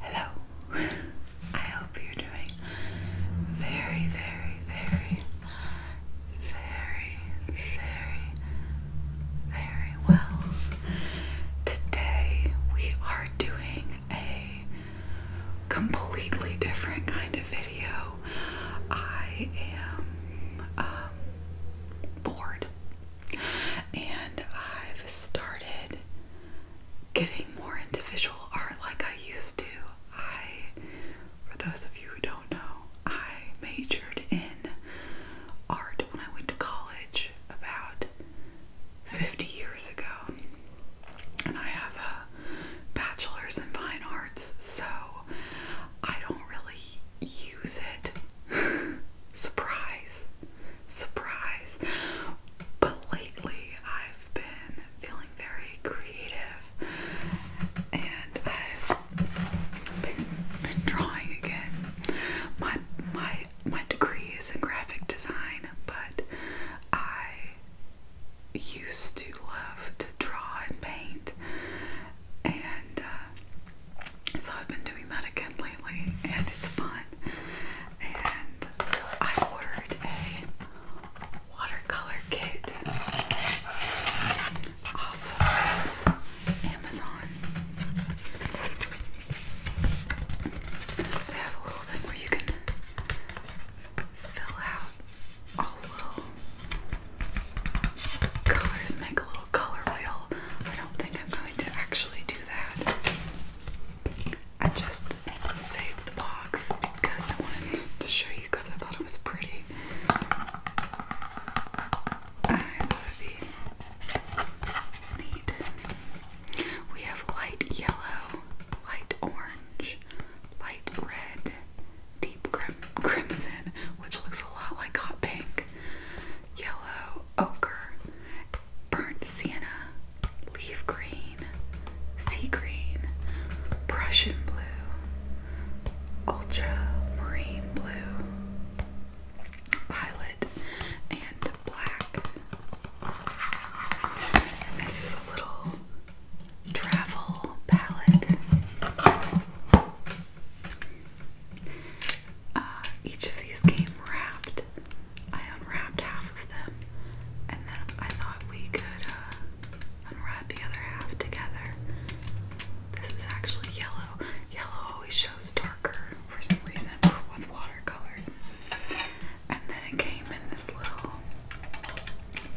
Hello. I hope you're doing very, very, very, very, very, very well. Today we are doing a completely different kind of video. I am um, bored and I've started getting more into visual art like I used to. I, for those of you who don't know, I majored in art when I went to college about 50 years ago. And I have a bachelor's in fine arts, so I don't really use it. Surprise. Surprise. But lately I've been feeling very creative and I've been, drawing again. My my my degree is in graphic design, but I used to love to draw and paint and uh, so I've been doing that again lately and it's fun and so I ordered a watercolor kit off Amazon. They have a little thing where you can fill out all little colors, make a little color wheel. I don't think I'm going to actually do that. I just saved the box because I wanted to show you because I thought it was pretty. I thought it'd be neat. We have light yellow, light orange, light red, deep crimson, which looks a lot like hot pink, yellow, ochre, burnt sienna, leaf green, sea green, Prussian blue, ultramarine blue, violet, and black. this is a little travel palette. Uh, each of these came wrapped. I unwrapped half of them, and then I thought we could uh, unwrap the other half together. This is actually yellow. Yellow always shows darker for some reason with watercolors. And then it came in this little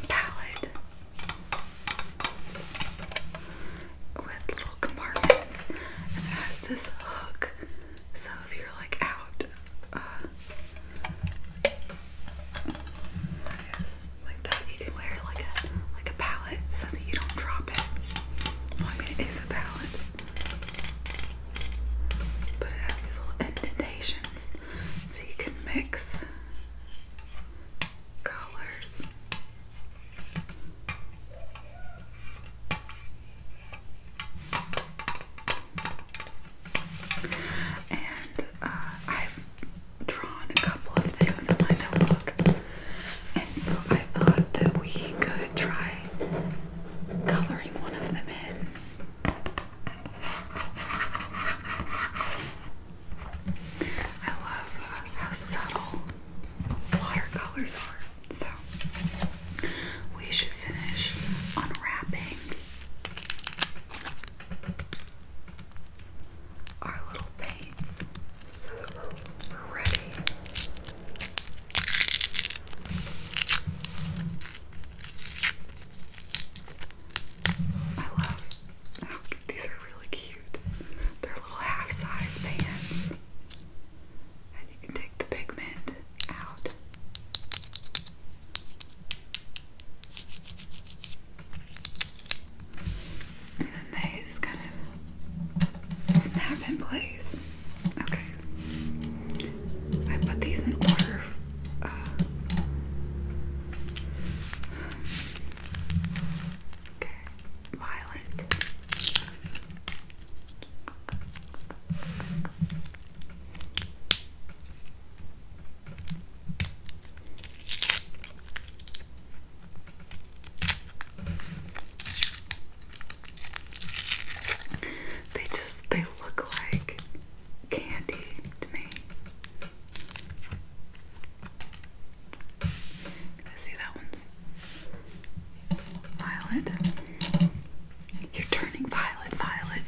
palette with little compartments, and it has this hook so if you're like out, uh, like that, you can wear like a like a palette so that you don't drop it. I mean, it is a palette, but it has these little indentations, so you can mix colors. And uh, I've drawn a couple of things in my notebook, and so I thought that we could try coloring one of them in. I love uh, how subtle watercolors are. So we should finish unwrapping our little paints so we're, ready. I love these are really cute. They're little half size pants and you can take the pigment out. And then they just kind of snap in place. Okay. I put these in order. Uh, okay. Violet. They just they look like candy to me. see that one's Violet. You're turning violet, violet.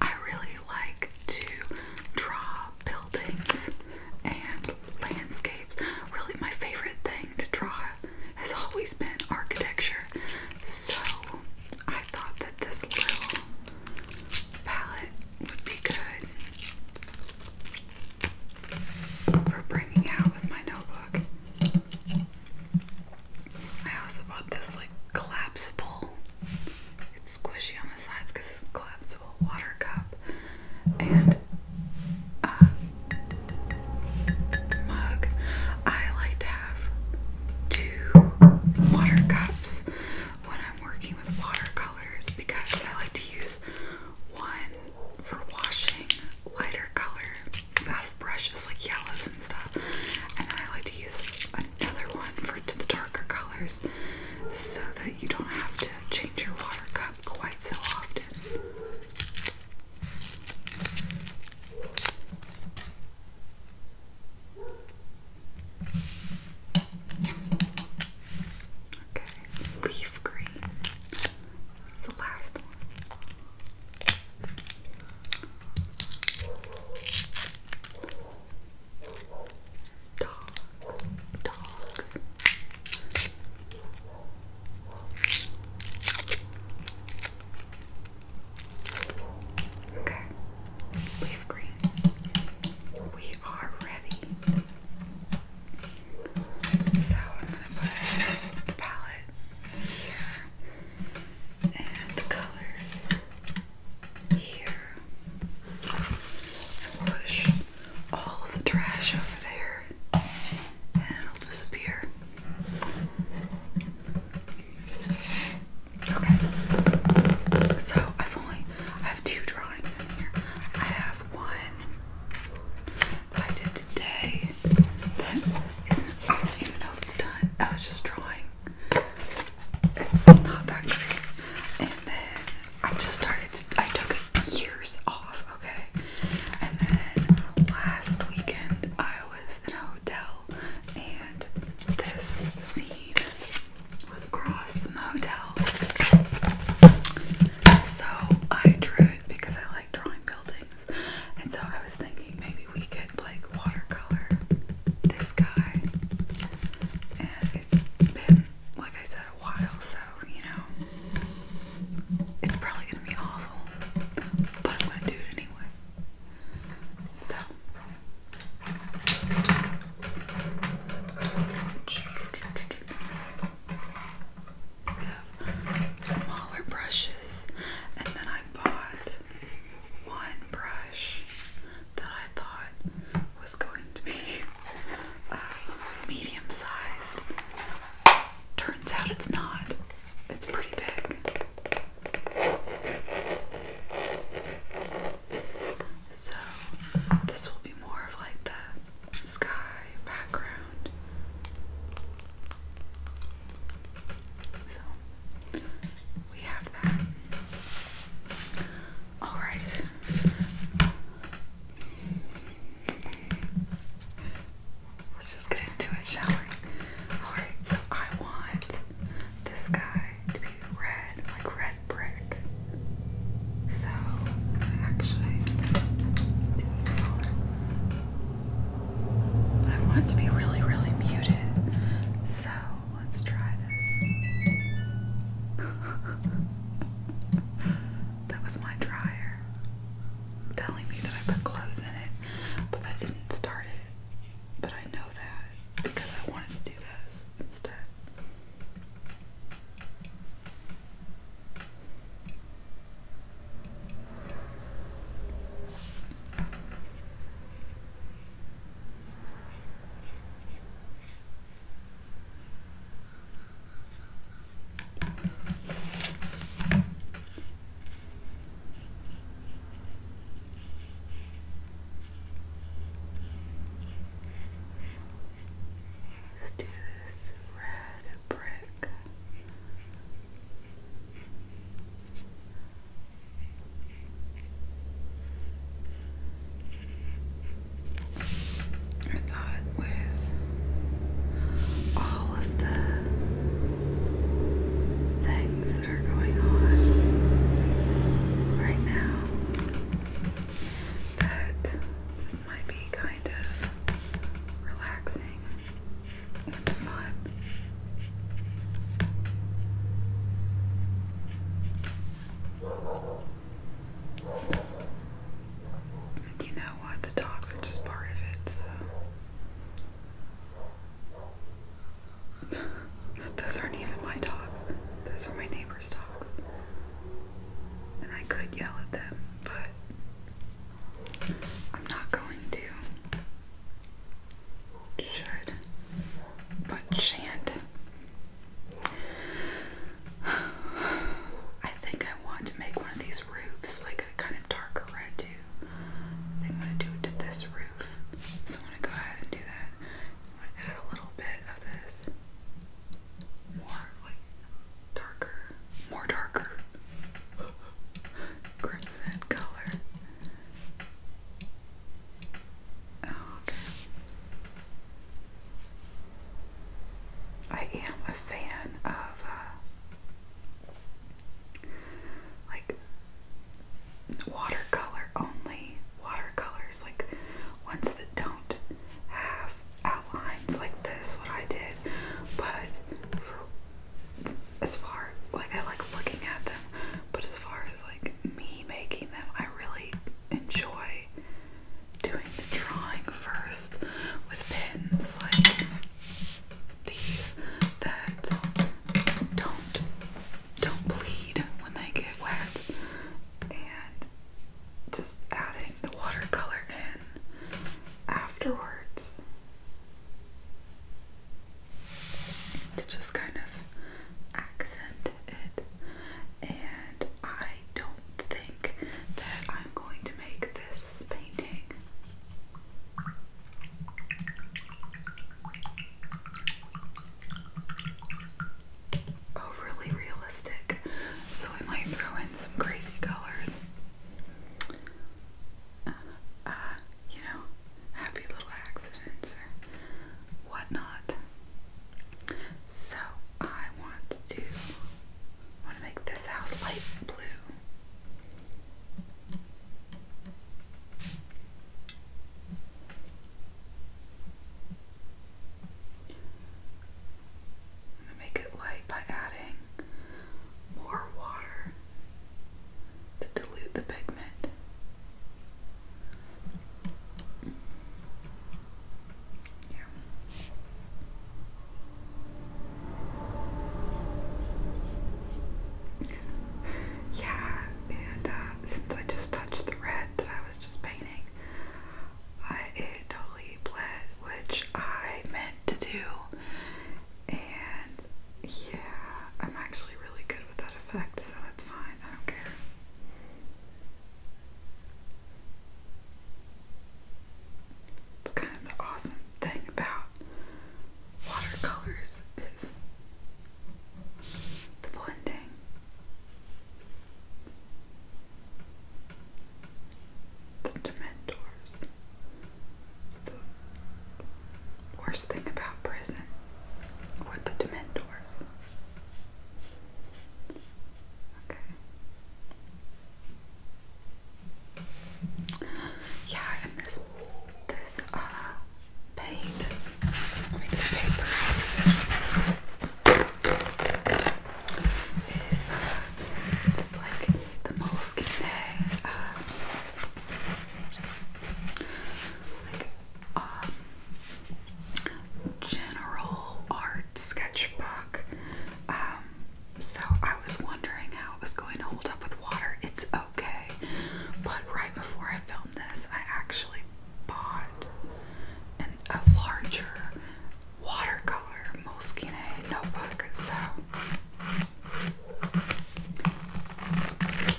I really like to draw buildings and landscapes. Really, my favorite thing to draw has always been architecture. So I thought that this little palette would be good for bringing out with my notebook. I also bought this like collapsible it's squishy on the sides because it's a collapsible water cup and a uh, mug. I like to have two water cups when I'm working with watercolors because I like to use one for washing lighter colors out of brushes like yellows and stuff, and I like to use another one for to the darker colors so that you don't have to change your water cup quite so often. Okay, leaf green. That's the last one. Dog, dogs. Okay, leaf green. We are ready. So I'm gonna put the palette here and the colors here push all of the trash over there and it'll disappear. Okay. So I've only I have two drawings in here. I have one that I did today that not even know if it's done. I was just drawing it's not that great. And then I just started, to, I took years off, okay? And then last weekend I was in a hotel and this scene was across from the hotel. So I drew it because I like drawing buildings. And so I was thinking maybe we could like watercolor this guy, and it's been like I said a while, so you know it's probably gonna be awful, but I'm gonna do it anyway. So. smaller brushes, and then I bought one brush that I thought was going to be uh, medium sized. Turns out it's not, it's pretty big. So, this will be more of like the sky background. So, we have that. All right. Let's just get into it, shall we? Alright, so I want this guy to be red, like red brick. So actually do this color. But I want it to be really, really muted. So let's try this. that was my dryer telling me that I put clothes in it, but that didn't start it. But I know that because I wanted to do this instead. Let's do this red brick. I thought with all of the things that are going on right now, that this might be kind of relaxing and fun. You know what? The dogs are just part of it, Those aren't even my dogs. Those are my neighbor's dogs. And I could yell at them, but I'm not going to should, but shan't. I think I want to make one of these roofs like a kind of darker red too. I think I'm gonna do it to this roof. So I'm gonna go ahead and do that. I'm gonna add a little bit of this more like darker, more darker crimson color. Oh, I am a fan of uh, like watercolor only watercolors, like ones that don't have outlines like this. What I did, but as far like I like looking at them, but as far as like me making them, I really enjoy doing the drawing first with pins like these that don't don't bleed when they get wet and just adding the watercolor in afterwards to just kind of accent it. And I don't think that I'm going to make this painting. Overly realistic, so I might throw in some crazy colors. Uh, uh, you know, happy little accidents or whatnot. So I want to want to make this house light blue. make it light by adding more water to dilute the pigment. Yeah. and uh, since I just touched the red that I was just painting, I, it totally bled, which I meant to do. And yeah, I'm actually really good with that effect, so that's fine. I don't care. It's kind of the awesome thing about watercolors is the blending. The Dementors worst thing about prison were the Dementors. Okay. Yeah, and this this uh paint. I this paper is uh, it's like the moleskin day. Uh, like general art sketchbook. Um, so I was wondering how it was going to hold up with water. It's okay, but right before I filmed this, I actually bought an, a larger watercolor Moleskine notebook. So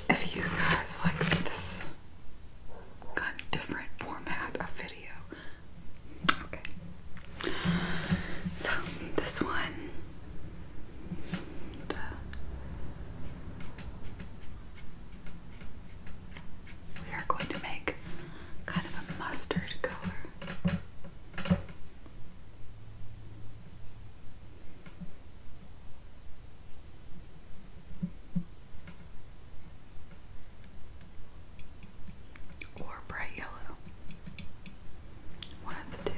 if you guys like this kind of different format of video. Okay. So this one. We are going to make kind of a mustard color or bright yellow. One of the two.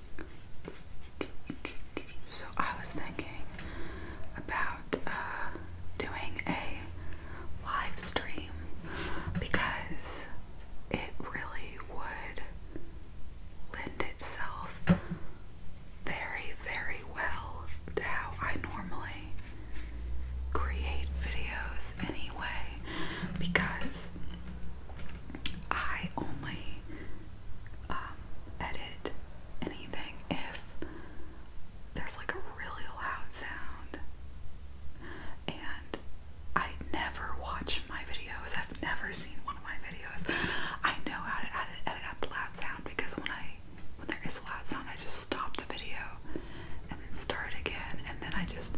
So I was thinking about uh, doing a live stream because it really would lend itself very, very well to how I normally create videos anyway because I only um, edit anything if there's like a really loud sound. And I never watch my videos. I've never seen one of my videos. I know how to edit, out the loud sound because when I when there is a loud sound, I just stop the video and start again, and then I just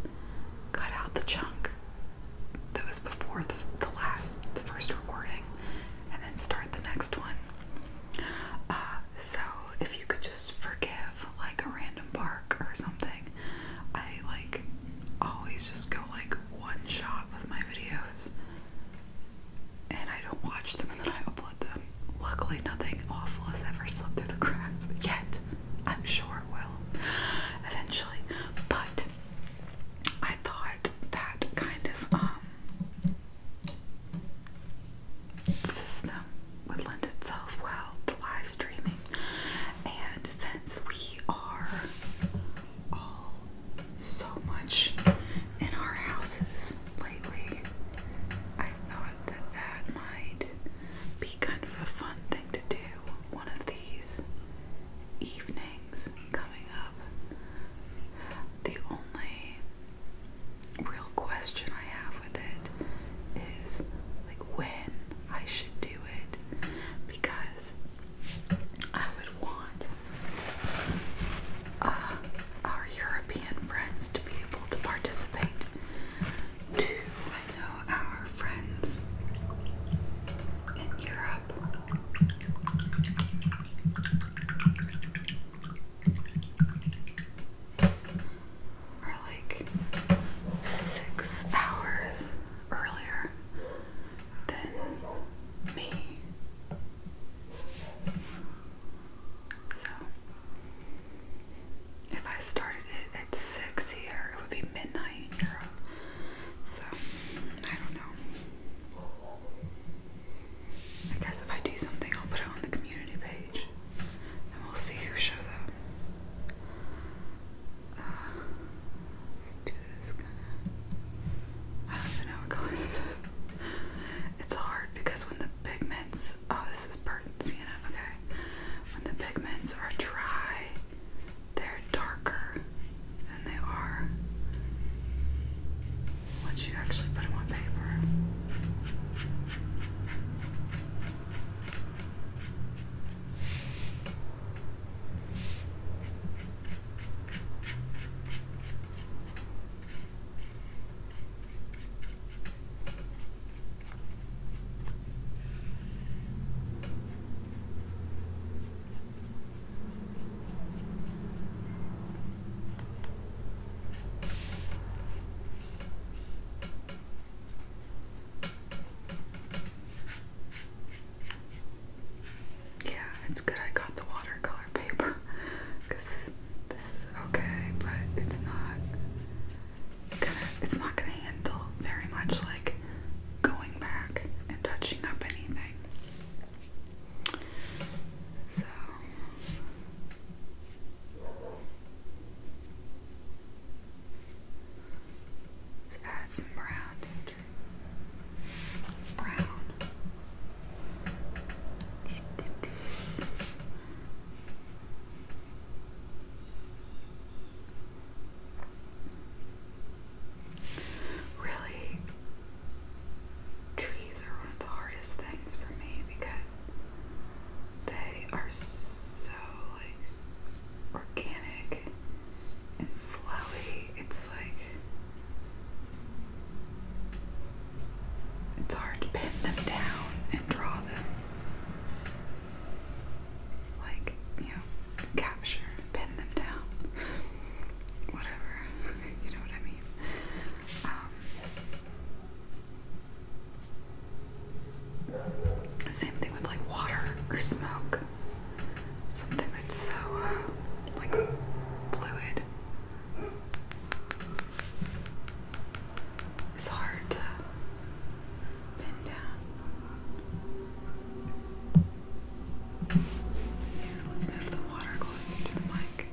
cut out the chunk that was before the, the last, the first recording, and then start the next one. Uh, so if you could just forgive like a random bark or something, I like always just go like one shot with my videos, and I don't watch them and then I upload them. Luckily, nothing awful has ever slipped through the cracks yet. I'm sure it will eventually. But I thought that kind of um, system would lend itself well to live streaming. And since we are all so much in our houses lately, I thought that that might be kind of a fun thing to to do one of these evenings coming up. The only real question I have with it is like when I should do it because I would want uh, our European friends to be able to participate I know our friends in Europe are like six hours earlier than me. So, if I started it's six here. It would be midnight So, I don't know. I guess if I do something, I'll put it on the community page and we'll see who shows up. Uh, let's do this kind of. I don't even know what color this is. It's hard because when the pigments. Oh, this is burnt sienna. Okay. When the pigments are dry, they're darker than they are once you actually put them on paper. Yeah, it's good I got the watercolor paper because this is okay, but it's not it's not gonna handle very much like going back and touching up anything. So Let's add some brown Brown. Really, trees are one of the hardest things for me because they are so like organic and flowy. It's like it's hard to pin them down and draw them like, you know, capture, pin them down, whatever, you know what I mean. Um, same thing with like water or smoke, something that's so uh, like fluid. It's hard to pin down let's move the water closer to the mic.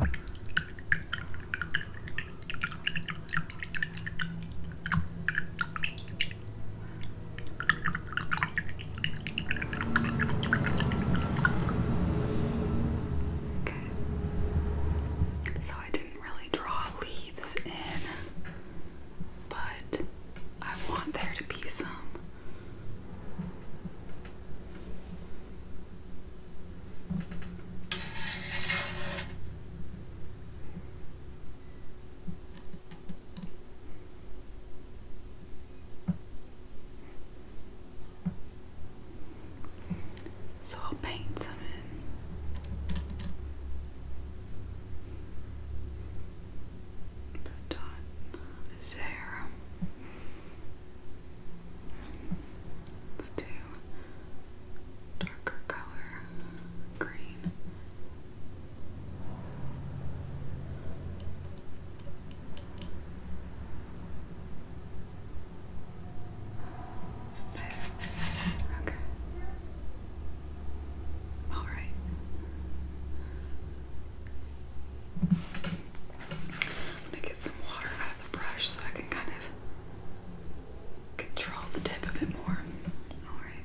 Okay. So I didn't really draw leaves in, but I want there to be some. So I'll paint some in. Put dot is Let's do darker color, green. Okay. All right. I'm gonna get some water out of the brush so I can kind of control the tip of it more. All right.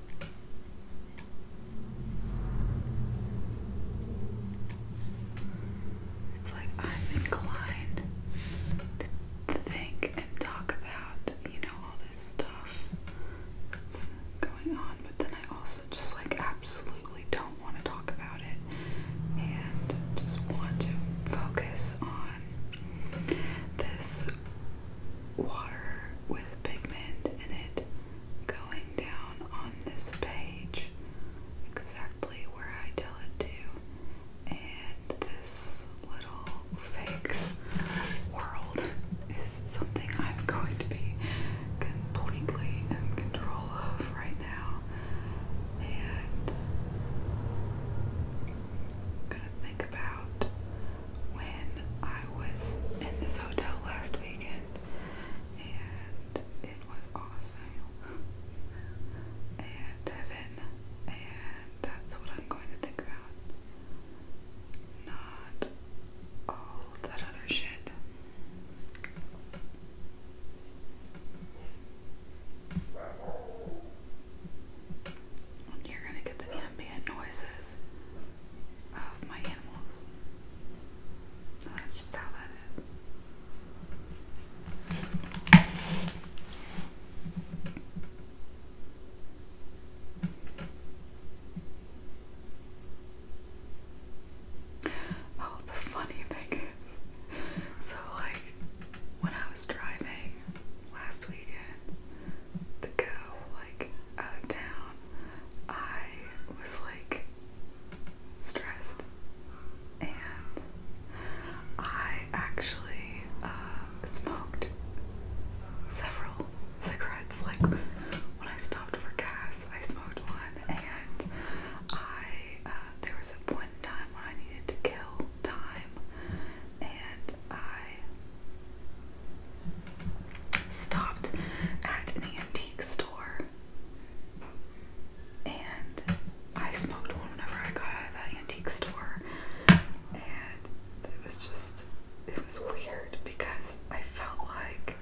It's like I'm inclined to think and talk about, you know, all this stuff that's going on, but then I also just like absolutely don't want to talk about it and just want to focus on this water with pigment in it going down on this page exactly where I tell it to and this little fake world is something I'm going to be completely in control of right now and I'm gonna think about when I was in this hotel last weekend, and it was awesome and heaven, and that's what I'm going to think about, not all that other shit. you're gonna get the ambient noises of my animals. that's just how that is. Oh, the funny thing is, so like when I was driving last weekend, to go like out of town, I was like stressed, and I actually uh, smoked several cigarettes. Like when I stopped for gas, I smoked one, and I uh, there was a point in time when I needed to kill time, and I stopped at an antique store and I smoked one whenever I got out of that antique store and it was just it was weird because I felt like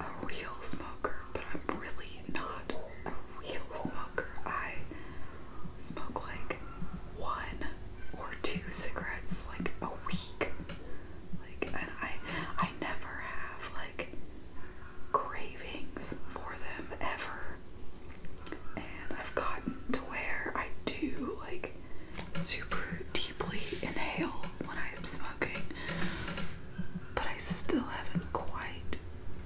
a real smoker but I'm really not a real smoker. I smoke like one or two cigarettes like a week. Like I I never have like cravings for them ever. And I've gotten to where I do like super deeply inhale when I'm smoking. But I still haven't quite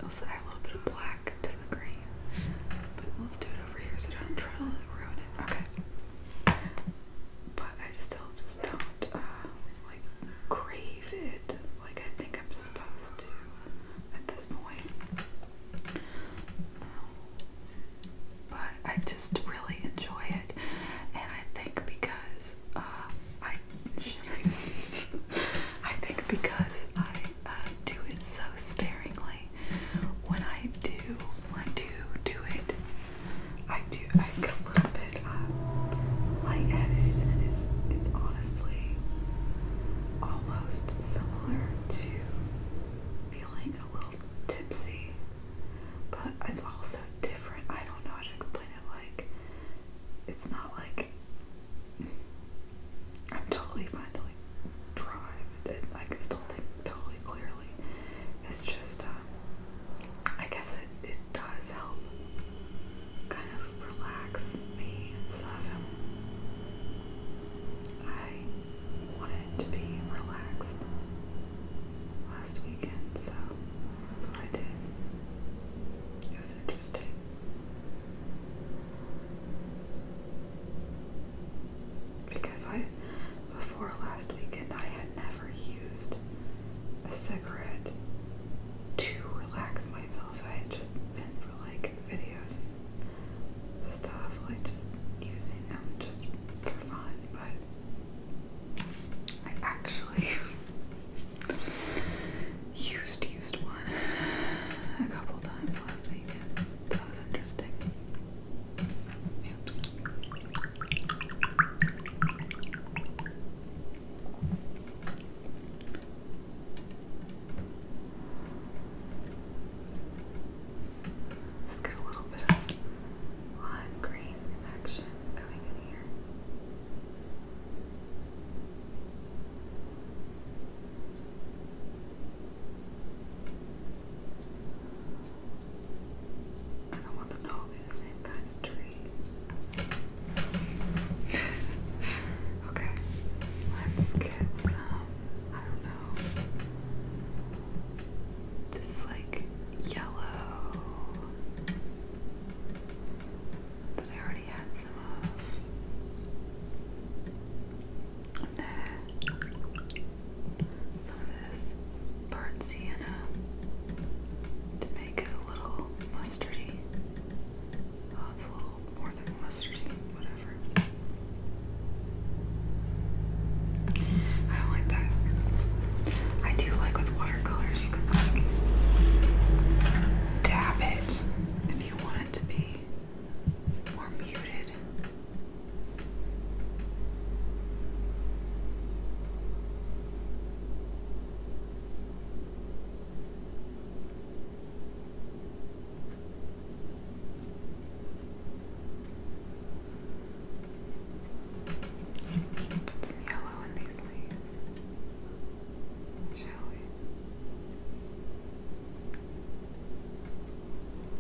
let's add a little bit of black to the green. But let's do it over here so I don't try to ruin Okay. But I still just don't, uh, like, crave it like I think I'm supposed to at this point. But I just really enjoy it, and I think because uh, I I think because I uh, do it so sparingly when I do, I do do it, I do, I get a little bit um, light-headed, and it is, it's honestly almost similar to feeling a little tipsy, but it's also different. I don't know how to explain it. Like, it's not like I'm totally fine to like drive I can still think totally clearly. It's just, um, I guess it, it does help kind of relax me and stuff. I wanted to be relaxed last weekend, so that's what I did. It was interesting. Because I cigarette. Before last weekend, I had never used a cigarette to relax myself. I had just been for like videos and stuff, like just using them just for fun, but I actually used used one a couple times last weekend. That was interesting. Oops. Let's get a little bit of lime green action coming in here. I don't want them to all be the same kind of tree. okay, let's get some, I don't know, this like yellow that I already had some of. Some of this burnt sienna to make it a little mustardy. Oh, it's a little more than mustardy, whatever. I don't like that. I do like with watercolors, you can like dab it if you want it to be more muted. Let's put some yellow in these leaves, shall we?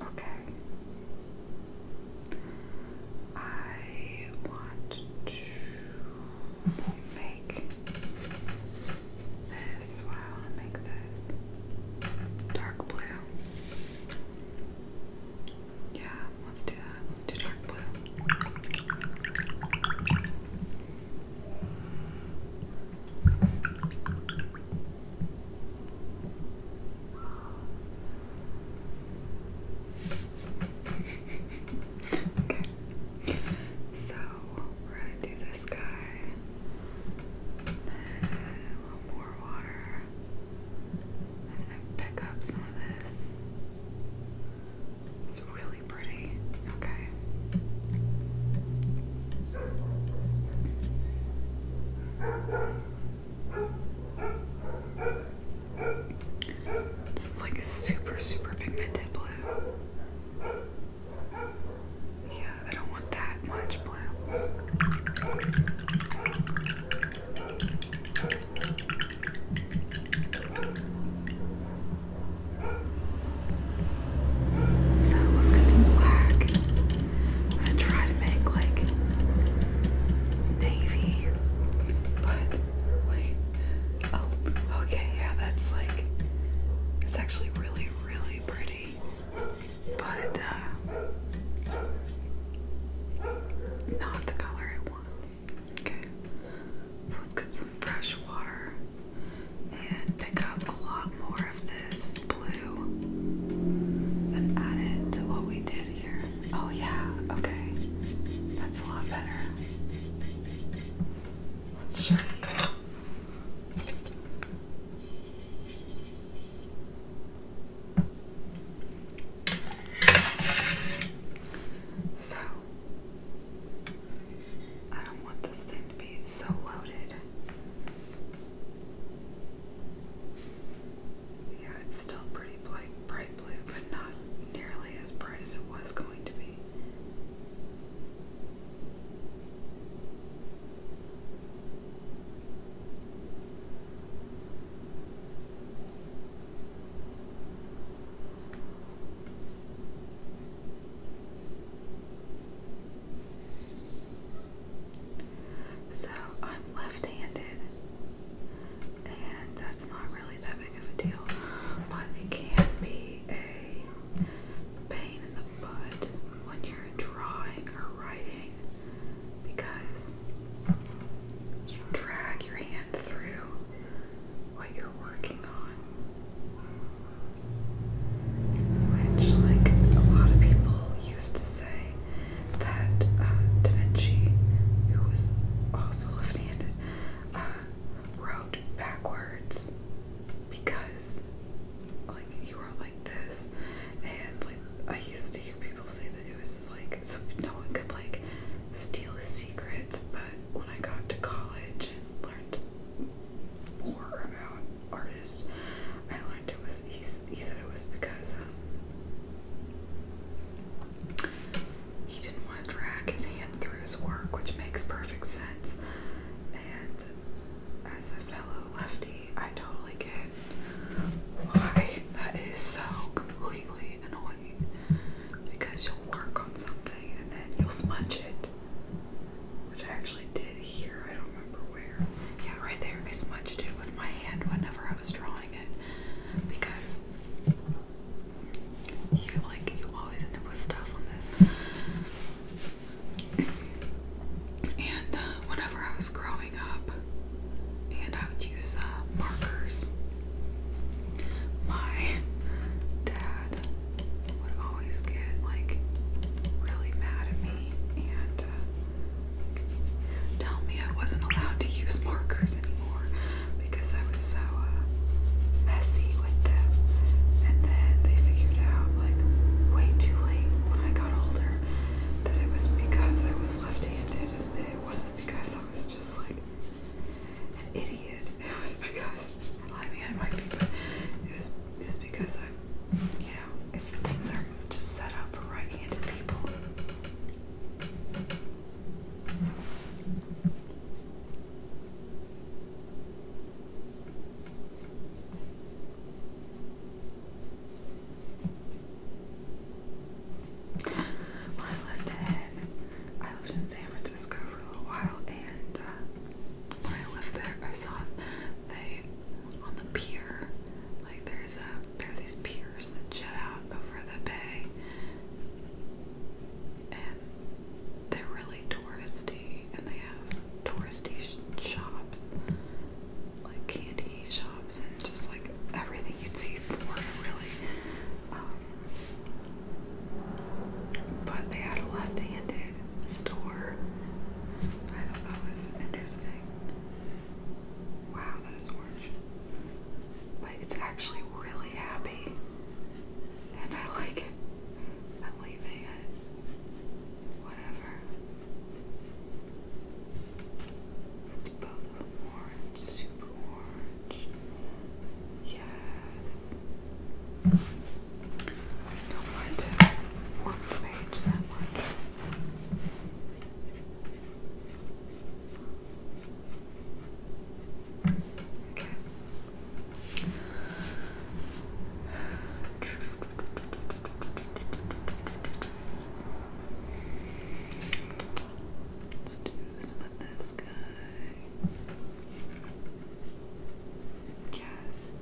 Okay. I want to make this what I want to make this dark blue. Yeah, let's do that to dark blue. okay. So we're gonna do this guy. a little more water. I'm gonna pick up some of this. It's really pretty. Okay. It's like super, super pigmented blue. Yeah, I don't want that much blue. So let's get some black. I'm gonna try to make like navy, but wait. Oh, okay, yeah, that's like it's actually really, really pretty. But uh, not the color I want. Okay, let's get some fresh water and pick up a lot more of this blue and add it to what we did here. Oh, yeah, okay, that's a lot better. Let's show so, I don't want this thing to be so loaded. Yeah, it's still pretty bright, bright blue, but not nearly as bright as it was going to be. So I'm left handed, and that's not really that big of a deal, but it can be a pain in the butt when you're drawing or writing because you drag your hand through what you're working on. Which, like, a lot of people used to say that uh, Da Vinci, who was also left handed, uh, wrote backwards because, like, he wrote like this. And, like, I used to hear people say that it was like, so no one could, like, steal his secrets, but when I got to college and learned more about artists, I learned it was he, he said it was because um, he didn't want to drag his hand through his work, which makes perfect sense. And as a fellow lefty, I totally get why that is so completely annoying because mark on something and then you'll smudge it. Which I actually did here, I don't remember where. Yeah, right there. I smudged it with my hand whenever I was drawing it. Because you like you always end up with stuff on this. And uh, whenever I was growing up, and I would use uh, markers. My dad would always get like really mad at me and uh, tell me I wasn't allowed to use markers anymore because I was so uh, messy with them. And then they figured out like way too late when I got older that it was because I was left handed and it wasn't because I was just like an idiot. It was because, well, I mean, I might be, but it was, it was because I, you know, it's the things are just set up for right handed people when I lived in, I lived in San Francisco for a little while, and uh, when I left there, I saw they on the pier, like there's a there are these piers that jut out over the bay, and they're really touristy, and they have touristy shops, like candy shops, and just like everything you'd see in Florida, really. Um, but they had a left-handed store. I thought was interesting. Wow, that is orange. But it's actually really happy. And I like it. I'm leaving it. Whatever. Let's do both of them orange, super orange. Yes. I don't want to warp the page that much. Okay. Let's do some of this guy guess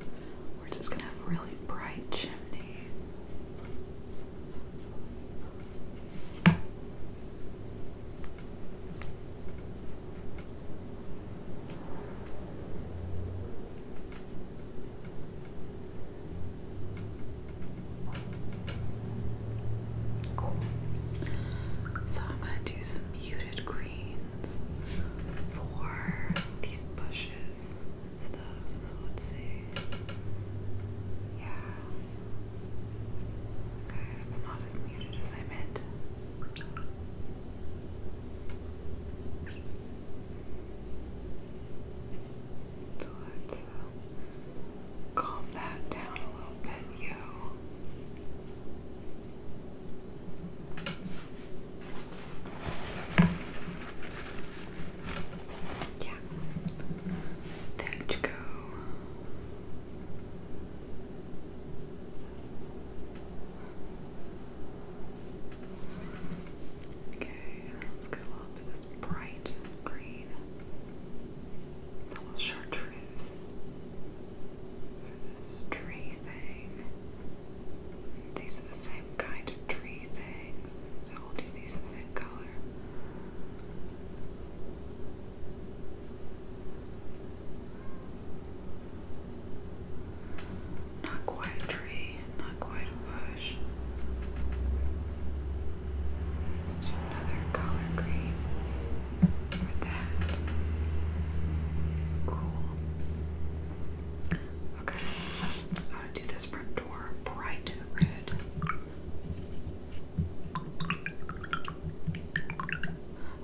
we're just gonna have really bright chimneys. Cool. So I'm gonna do some muted greens for these bushes and stuff. So let's see. Yeah. Okay, it's not as muted as I meant. So let's uh, Calm that down a little bit, yo. Yeah. There you go. Okay, let's get a little bit of this bright green. It's almost chartreuse this tree thing. These are the same kind of tree things, so we'll do these the same color. Not quite a tree, not quite a bush do another color green for that. Cool. Okay, I'm gonna do this front door bright red.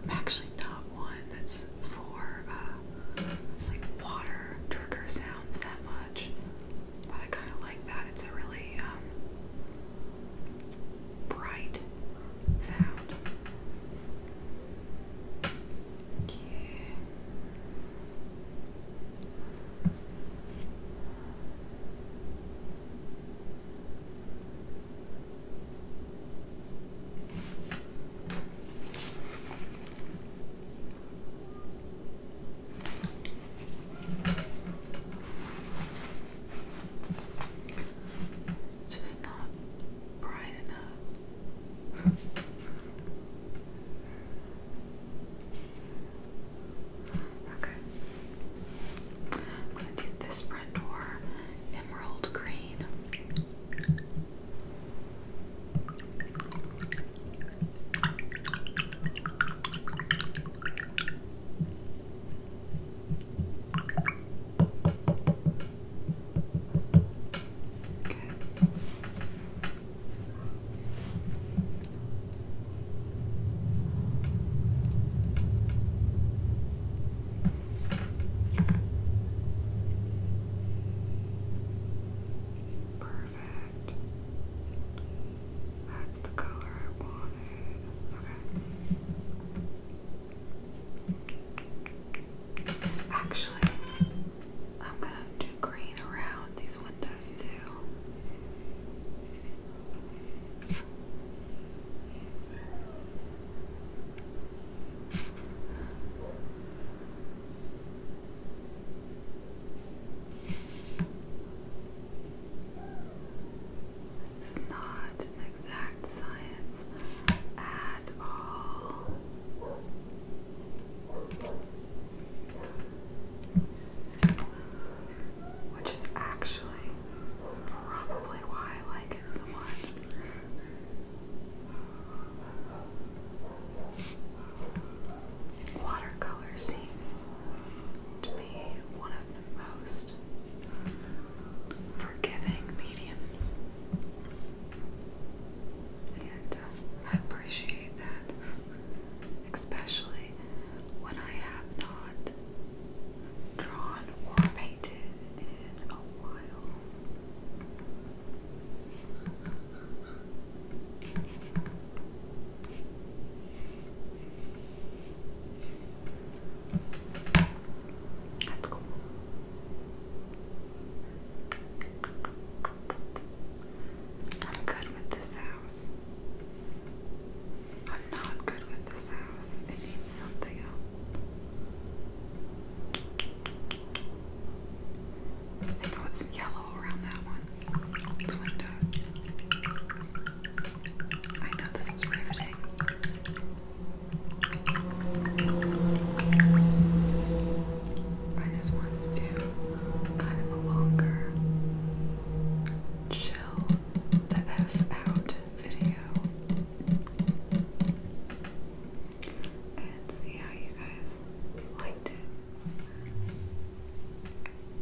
I'm actually not one that's for uh, like water trigger sounds that much, but I kind of like that. It's a really um, bright sound. Yeah. It's just not bright enough. okay. I'm gonna do this front door emerald green. Okay. Perfect. That's the color I wanted. Actually, I'm gonna do green around these windows too. This is not an exact science at all. Which is actually probably why I like it so much. Watercolor seems to be one of the most forgiving mediums. And uh, I appreciate that, especially when I have not drawn or painted in a while. That's cool. I'm good with this house. I'm not good with this house. It needs something else. I think some yellow around that one. It's window. I know this is riveting. I just wanted to do kind of a longer chill the F out video and see how you guys liked it.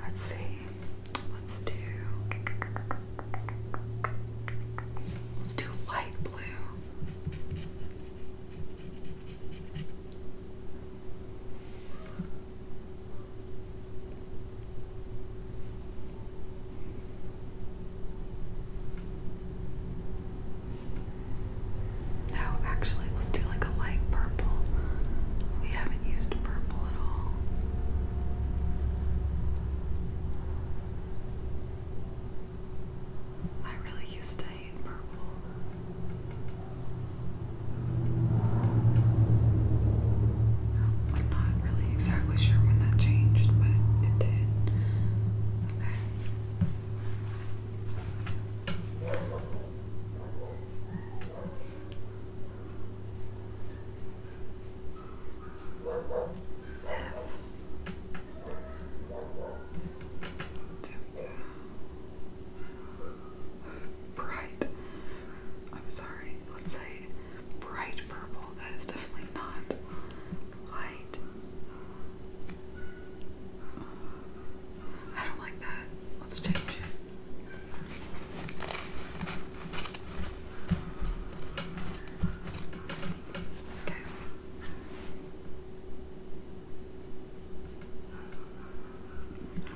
Let's see. Let's do Let's do light blue. No, oh, actually, let's do like a light purple. We haven't used purple at all. I really used to hate purple. I'm not really exactly sure when that changed, but it, did. Okay we go. Bright. I'm sorry. Let's say bright purple. That is definitely not light I don't like that. Let's change Okay.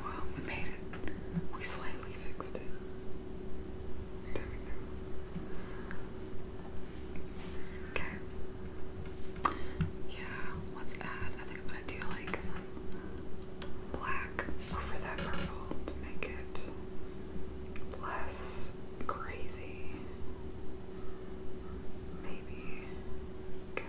Well, we made it. We slightly fixed it. There we go. Okay. Yeah, let's I think i do like some black over that purple to make it less crazy. Maybe. Okay.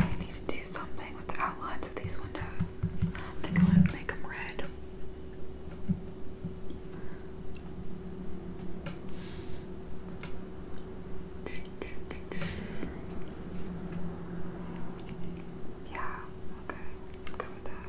I need to do something with the outlines of these windows. I think I'm to make them red. Yeah, okay. good with that.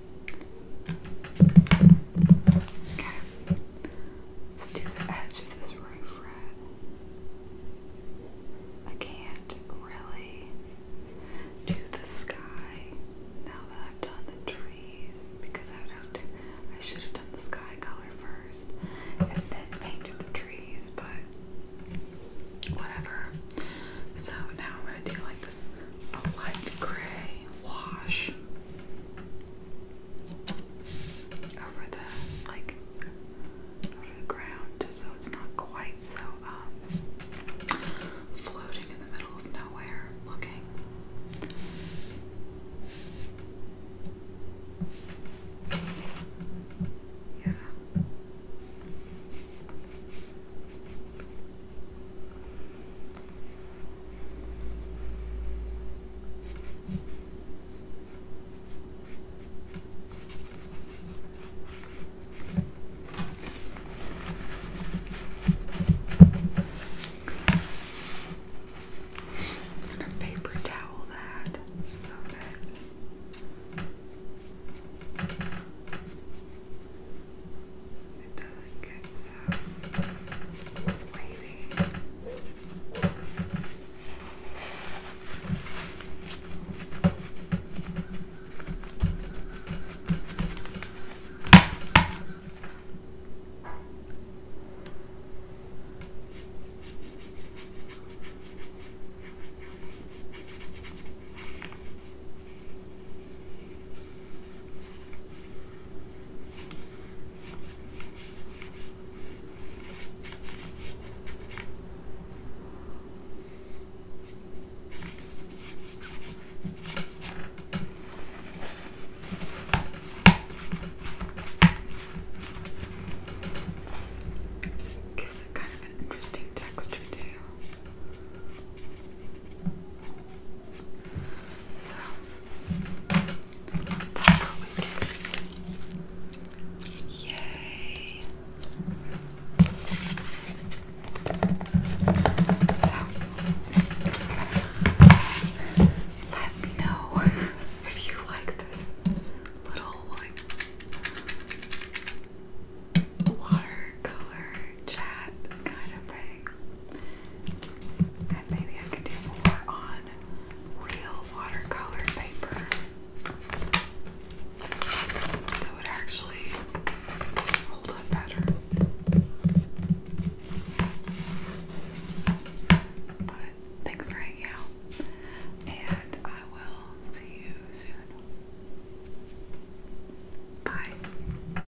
Okay. Let's do the edge of this roof red. I can't really do the sky now that I've done the trees because I should have done the sky color first and then painted the trees, but whatever. So now I'm gonna do like this light gray wash over the like over the ground just so it's not quite so um floating in the middle of nowhere looking. Yeah. I'm gonna paper towel that so that it doesn't get so weighty. Gives it kind of an interesting texture too. So that's what we did. Yay! So let me know if you like this little like watercolor chat kind of thing. And maybe I could do more on real watercolor paper that would actually hold up better. But thanks for hanging out, and I will see you soon. Bye.